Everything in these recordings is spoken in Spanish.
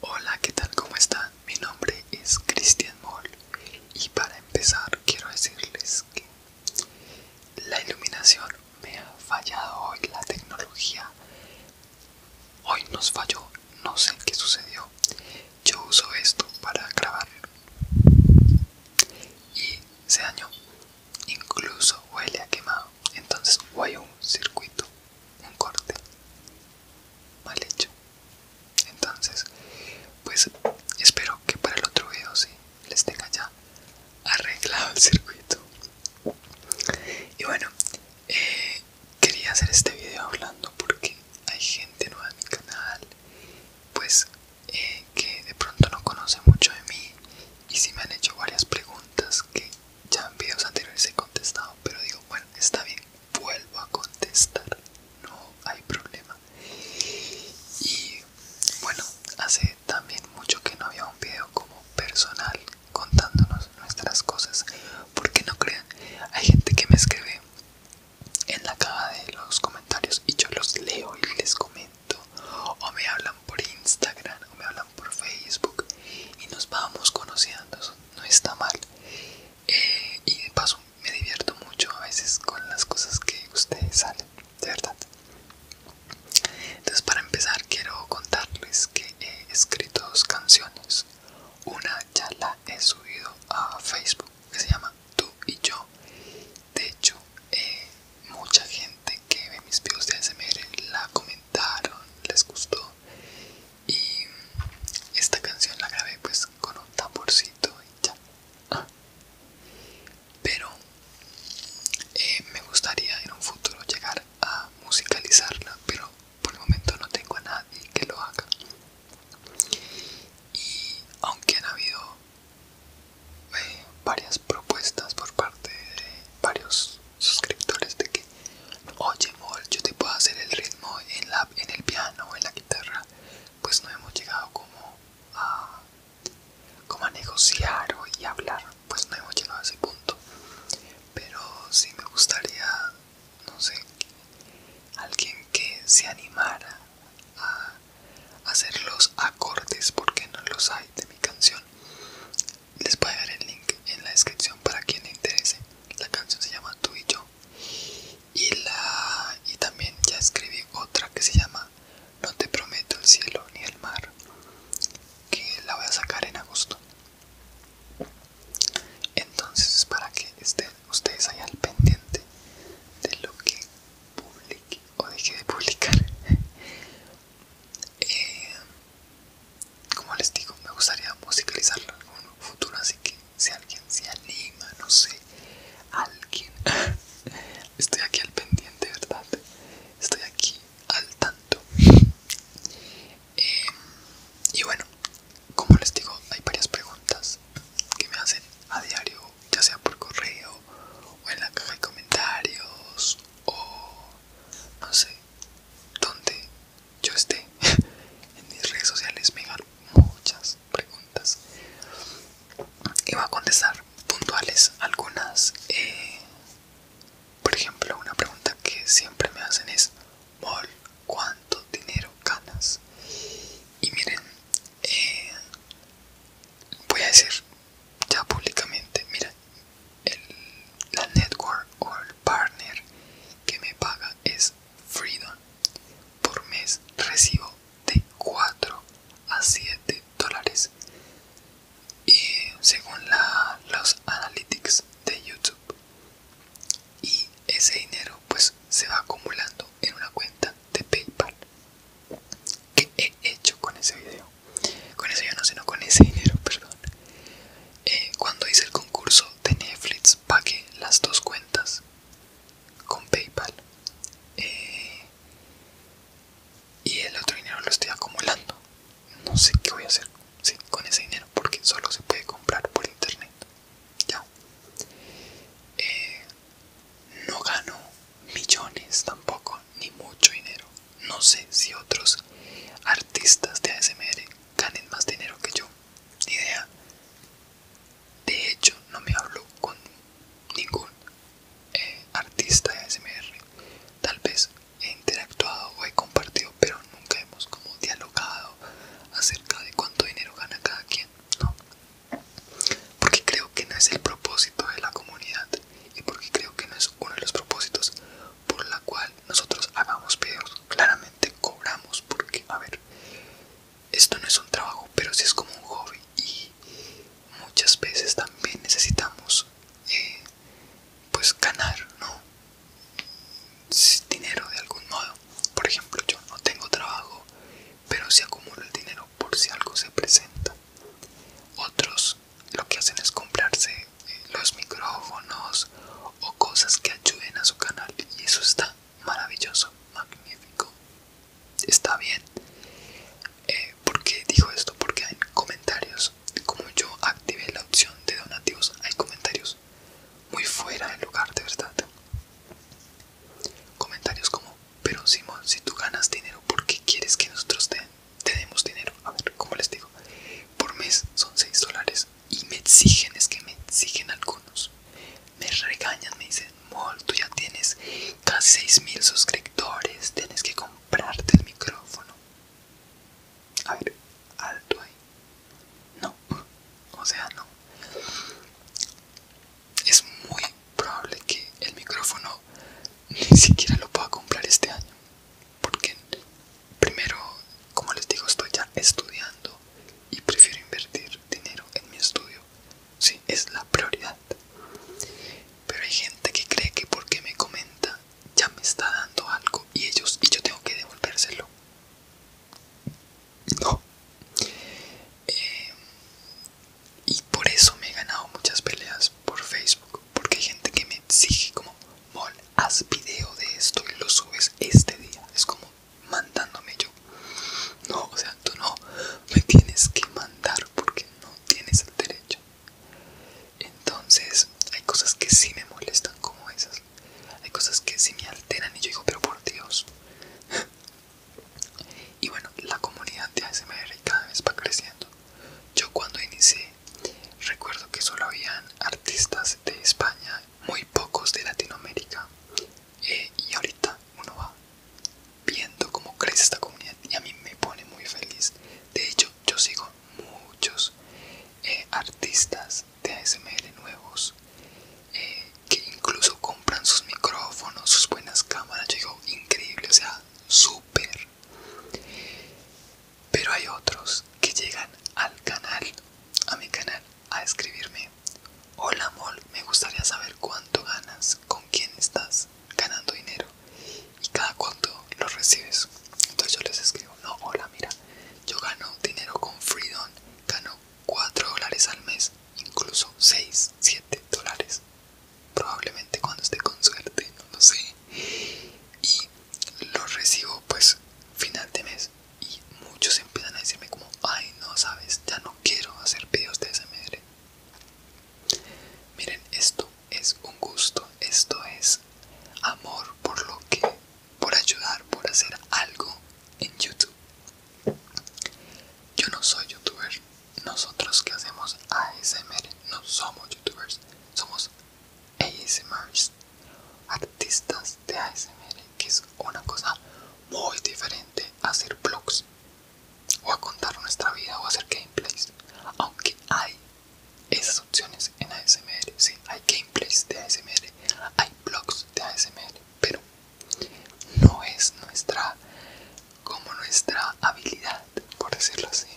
Hola, ¿qué tal? ¿Cómo están? Mi nombre es Cristian Moll y para empezar quiero decirles que la iluminación me ha fallado hoy, la tecnología hoy nos falló, no sé qué sucedió. Yo uso esto para grabar y se dañó, incluso huele a quemado, entonces o hay un circuito, un corte mal hecho entonces pues espero que para el otro video sí les tenga ya arreglado el circuito y bueno eh, quería hacer este video hablando porque hay gente nueva en mi canal pues eh, que de pronto no conoce mucho de mí y si me han hecho varias preguntas que ya en videos anteriores he contestado pero digo bueno está bien vuelvo a contestar no hay problema y bueno hace también mucho que no había un video como personal contándonos nuestras cosas porque no crean hay gente que me escribe en la caja de los comentarios y yo los leo y les comento o me hablan por instagram o me hablan por facebook y nos vamos conociendo no está mal eh, y de paso me divierto mucho a veces con las cosas que ustedes salen, de verdad. Entonces para empezar quiero contarles que he escrito dos canciones. Una ya la he subido a Facebook que se llama Tú y Yo. De hecho, eh, mucha gente que ve mis videos de ASMR la comentaron, les gustó y esta canción la grabé pues con un tamborcito y ya ah. pero eh, me gustaría en un futuro llegar a musicalizarla pero por el momento no tengo a nadie que lo haga y aunque han habido eh, varias propuestas por parte de varios suscriptores de que Oye, Mol, yo te puedo hacer el ritmo en, la, en el piano o en la guitarra. Pues no hemos llegado como a, como a negociar o y hablar. Pues no hemos llegado a ese punto. Pero si me gustaría, no sé, alguien que se animara a hacer los acordes porque no los hay de mi canción. Les voy a dar el link en la descripción para quien le interese. La canción se llama Tú y yo y la y también ya escribí otra que se llama No te prometo el cielo ni el mar que la voy a sacar en agosto entonces para que estén ustedes ahí al pendiente de lo que publique o deje de publicar eh, como les digo me gustaría musicalizarlo en un futuro así que si alguien se anima, no sé, alguien. Estoy aquí al pendiente, ¿verdad? Estoy aquí al tanto. Eh, y bueno, como les digo, hay varias preguntas que me hacen a diario, ya sea por correo o en la caja de comentarios o no sé, ¿dónde? yo esté en mis redes sociales me hagan muchas preguntas y va a contestar puntuales algunas eh, por ejemplo una pregunta que siempre me hacen es ¿cuánto dinero ganas? y miren eh, voy a decir ya públicamente mira el, la network o el partner que me paga es Freedom. Por mes recibo de 4 a 7 dólares. Y según los analytics de YouTube. Y ese dinero pues se va acumulando en una cuenta de PayPal. que he hecho con ese video? Con ese yo no, sino con ese dinero, perdón. Eh, cuando hice el concurso de Netflix pagué las dos cuentas con PayPal eh, y el otro dinero lo estoy acumulando. No sé qué voy a hacer con ese dinero porque solo se puede comprar por internet. Ya. Eh, no gano millones tampoco, ni mucho dinero. No sé si otros artistas de ASMR ganen más dinero que yo. Ni idea. De hecho, no me hablo con ningún eh, artista de ASMR. Tal vez he interactuado o he compartido, pero nunca hemos como dialogado acerca de cuánto dinero gana cada quien. No. Porque creo que no es el propósito de la comunidad y porque creo que no es uno de los propósitos por la cual nosotros hagamos pedos, Claramente cobramos porque, a ver, esto no es un trabajo, pero sí es como un hobby y muchas veces también necesitamos eh, pues ganar, Dinero de algún modo. Por ejemplo, yo no tengo trabajo, pero si sí acumulo el dinero por si algo se presenta. Otros lo que hacen es comprarse eh, los micrófonos o cosas que ayuden a su canal y eso está maravilloso, magnífico. Está bien. porque eh, ¿Por qué digo esto? Porque hay comentarios. Como yo activé la opción de donativos, hay comentarios muy fuera del lugar, de verdad. Comentarios como, pero Simón, si tú ganas dinero, ¿por qué quieres que nosotros te, demos dinero? A ver, como les digo, por mes son 6 dólares y me exigen, es que me exigen algunos. Me regañan, me dicen, Mol, tú ya tienes casi mil suscriptores, tienes que comprarte el micrófono. A ver, alto ahí. No, o sea, no. Es muy probable que el micrófono ni siquiera lo pueda comprar este año. Porque primero, como les digo, estoy ya estudiando y prefiero invertir dinero en mi estudio. Sí, es la prioridad. Pero hay gente que cree que porque me comenta ya me está dando algo y ellos y yo tengo que devolvérselo. No. Eh, y por eso me he ganado muchas peleas por Facebook. Porque hay gente que me exige como, mol, haz video de esto y lo subes este día. Es como, mandándome yo. No, o sea, tú no me tienes que mandar porque no tienes el derecho. Entonces, hay cosas que sí me molestan como esas. Hay cosas que sí me alteran y yo digo, pero por Dios. Y bueno, la comunidad de ASMR cada vez va creciendo. Yo cuando inicié, recuerdo que solo habían artistas de España, muy pocos de Latinoamérica eh, y ahorita uno va viendo cómo crece esta comunidad y a mí me pone muy feliz de hecho yo sigo muchos eh, artistas de asml nuevos eh, que incluso compran sus micrófonos sus buenas cámaras yo digo increíble o sea súper pero hay otros que llegan al canal a mi canal a escribirme. Hola Mol, me gustaría saber cuánto ganas, con quién estás ganando dinero y cada cuánto lo recibes. Entonces yo les escribo, no, hola, mira, yo gano dinero con Freedom, gano 4 dólares al mes, incluso 6, 7 dólares. Probablemente cuando esté con suerte, no lo sé. Y lo recibo pues final de mes y muchos empiezan a decirme como ay no sabes ya no quiero hacer videos de asmr miren esto es un gusto esto es amor por lo que por ayudar por hacer algo en youtube yo no soy youtuber nosotros que hacemos ASMR no somos youtubers somos ASMRs artistas de ASMR que es una cosa muy diferente a hacer blogs o a contar nuestra vida o hacer gameplays aunque hay esas opciones en ASMR sí, hay gameplays de ASMR hay vlogs de ASMR pero no es nuestra como nuestra habilidad por decirlo así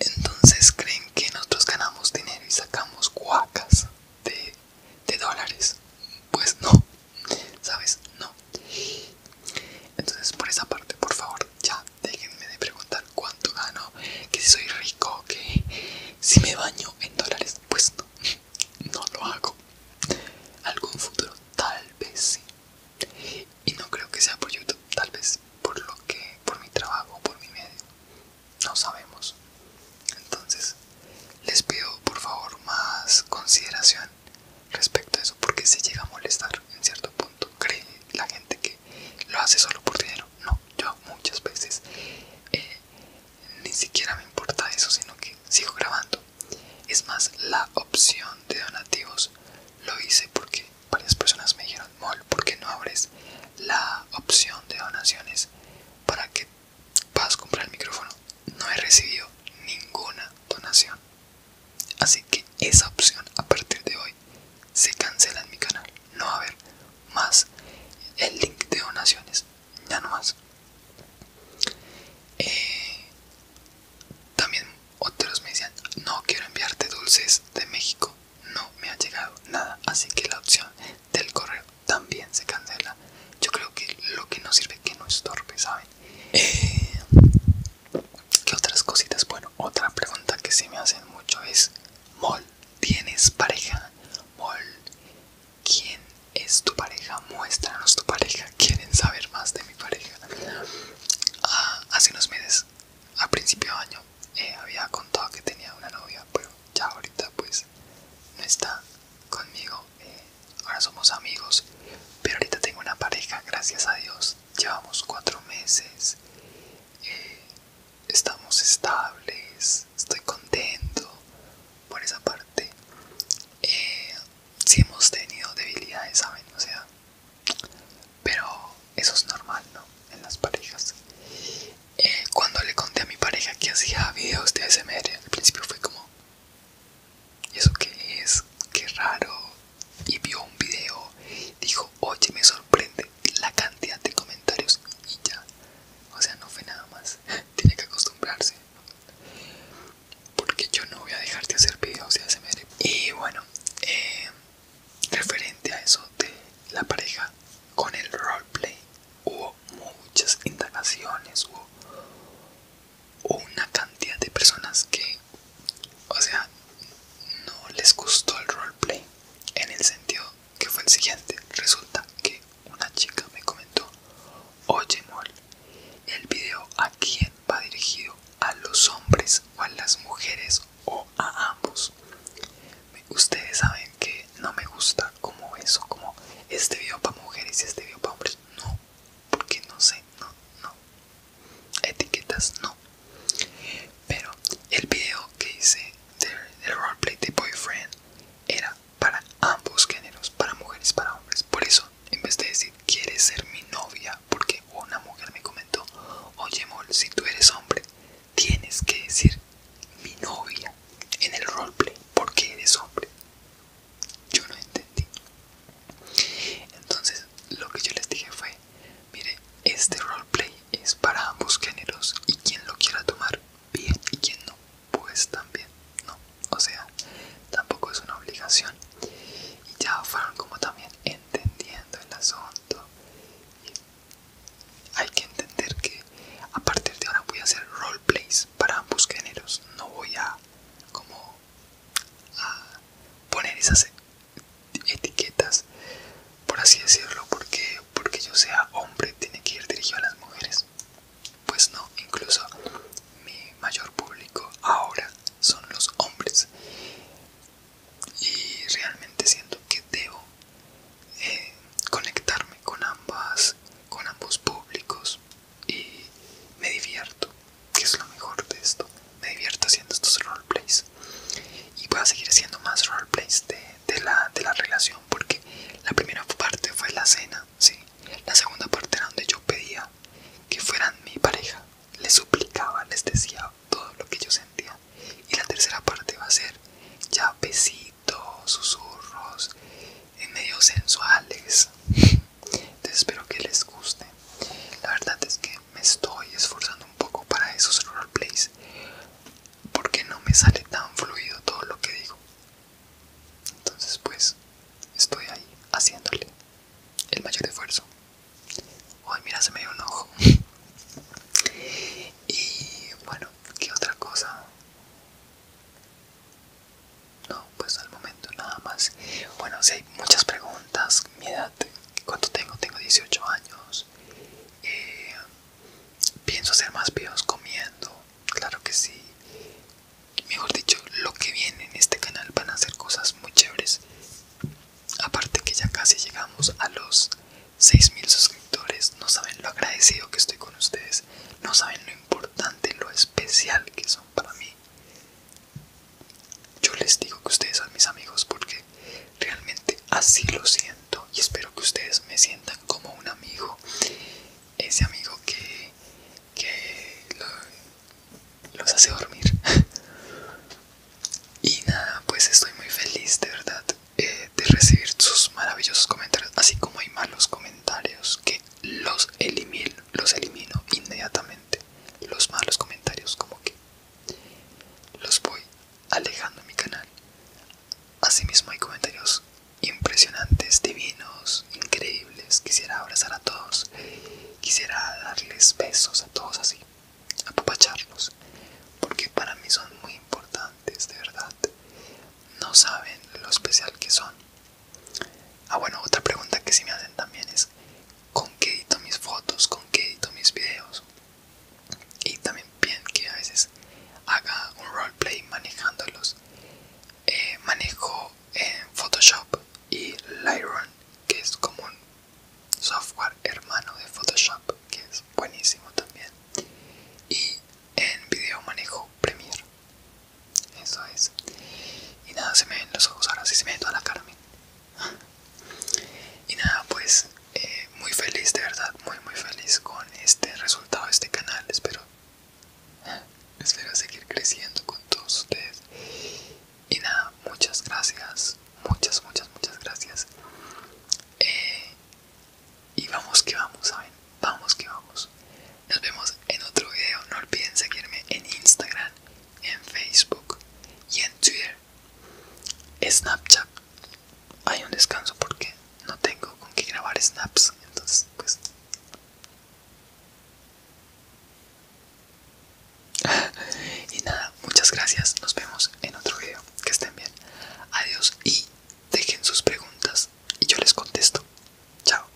entonces creen que nosotros ganamos dinero y sacamos cuacas de de dólares pues no sabes no entonces por esa parte por favor ya déjenme de preguntar cuánto gano que si soy rico que si me baño en dólares pues no no lo hago algún futuro tal vez sí y no creo que sea por YouTube tal vez por lo que por mi trabajo por mi medio no sabemos entonces, les pido por favor más consideración respecto a eso, porque se llega a molestar en cierto punto, cree la gente que lo hace solo por dinero. No, yo muchas veces eh, ni siquiera me importa eso, sino que sigo grabando. Es más, la opción de donativos lo hice porque varias personas me dijeron, Mol, ¿por qué no abres la opción de donaciones para que Vas a comprar el micrófono. No he recibido ninguna donación. Así que esa opción a partir de hoy se cancela en mi canal. No va a haber más el link de donaciones. Ya no más. Eh, también otros me decían, no quiero enviarte dulces de México. No me ha llegado nada. Así que la opción del correo también se cancela. Yo creo que lo que no sirve que no estorbe, ¿saben? ¿Qué otras cositas? Bueno, otra pregunta que se me hacen mucho es: Mol, ¿tienes pareja? Mol, ¿quién es tu pareja? Muéstranos tu pareja. ¿Quieren saber más de mi pareja? Ah, hace unos meses, a principio de año, eh, había contado que tenía una novia, pero ya ahorita, pues, no está conmigo. Eh, Ahora somos amigos, pero ahorita tengo una pareja, gracias a Dios. Llevamos cuatro meses. Eh, estamos estables. Estoy contento por esa parte. Eh, si hemos tenido debilidades, ¿saben? O sea, pero eso es normal, ¿no? En las parejas. Eh, cuando le conté a mi pareja que hacía videos de SMR, al principio fue como, y ¿Eso que es? que raro. Y vio un video, dijo, oye, me sorprende la cantidad de comentarios y ya. O sea, no fue nada más. Tiene que acostumbrarse. Porque yo no voy a dejar de hacer videos se Y bueno, eh, referente a eso de la pareja con el roleplay hubo muchas indagaciones, hubo una cantidad de personas que, o sea, no les gustó el roleplay en el sentido que fue el siguiente. Resulta que una chica me comentó, oye Mol, el video a quién va dirigido, a los hombres o a las mujeres o a ambos. Ustedes saben que no me gusta como eso, como este video para mujeres y este video para hombres no, porque no sé, no, no. Etiquetas no. Pero el video que hice del, roleplay de boyfriend era para ambos géneros, para mujeres, para hombres. Por eso, en vez de decir quieres ser mi novia, porque una mujer me comentó, oye Mol, si tú eres hombre, tienes que decir mi novia en el roleplay, porque eres hombre yo no entendí. Entonces lo que yo les dije fue, mire, este roleplay es para ambos géneros y quien lo quiera tomar bien y quien no, pues también, no. O sea, tampoco es una obligación. Y ya fueron como también entendiendo el asunto. hay que entender que a partir de ahora voy a hacer roleplays para ambos géneros. No voy a como a poner esas etiquetas por así decirlo porque porque yo sea hombre tiene que ir dirigido a las mujeres pues no incluso mi mayor público ahora son los hombres y realmente siento que debo eh, conectarme con ambas con ambos públicos y me divierto, que es lo mejor de esto. Me divierto haciendo estos roleplays y voy a seguir haciendo más roleplays de, de, la, relación porque la primera parte fue la cena, ¿sí? la segunda parte era donde yo pedía que fueran mi pareja, les suplicaba, les decía todo lo que yo sentía y la tercera parte va a ser ya besitos, susurros en medios sensuales. Entonces espero que les guste. La verdad es que me estoy esforzando un poco para esos roleplays porque no me sale tan fluido todo lo que digo. Entonces pues estoy ahí haciéndole el mayor esfuerzo. Hoy mira, se me dio un ojo. Y bueno, ¿qué otra cosa? No, pues al momento nada más. Bueno, si hay muchas preguntas, mi edad, ¿cuánto tengo? Tengo 18 años. Eh, pienso hacer más videos comiendo, claro que sí. Mejor dicho, lo que viene en este canal van a ser cosas muy chéveres. Aparte que ya casi llegamos a los 6.000 suscriptores, no saben lo agradecido que estoy con ustedes, no saben lo importante, lo especial que son para mí. Yo les digo que ustedes son mis amigos porque realmente así lo siento y espero que ustedes me sientan como un amigo, ese amigo que, los hace dormir. y nada, pues estoy muy feliz de verdad eh, de recibir sus maravillosos comentarios, así como hay malos comentarios que los elimino, los elimino inmediatamente. Los malos comentarios como que los voy alejando en mi canal. Asimismo hay comentarios impresionantes, divinos, increíbles. Quisiera abrazar a todos. Quisiera darles besos a todos así. Apapacharlos. Porque para mí son muy importantes, de verdad. No saben lo especial que son. Ah, bueno, otra pregunta que sí me hacen también es ¿con qué edito mis fotos? ¿Con qué edito mis videos? Y también bien que a veces haga un roleplay manejándolos. Eh, manejo Photoshop y Lightroom, que es como un software hermano de Photoshop, que es buenísimo también. Y en video manejo Premiere. Eso es. Y nada, se me ven los ojos, ahora sí se me ve toda la carmen Y nada, pues eh, muy feliz, de verdad, muy muy feliz con este resultado de este canal. Espero, espero seguir creciendo con todos ustedes. Y nada, muchas gracias, muchas, muchas, muchas gracias. Eh, y vamos que vamos, ¿saben? Vamos que vamos. Nos vemos en otro video. No olviden seguirme en Instagram, en Facebook y en Twitter. Snapchat. Hay un descanso porque no tengo con qué grabar snaps. Entonces, pues... y nada, muchas gracias. Nos vemos en otro video. Que estén bien. Adiós y dejen sus preguntas y yo les contesto. Chao.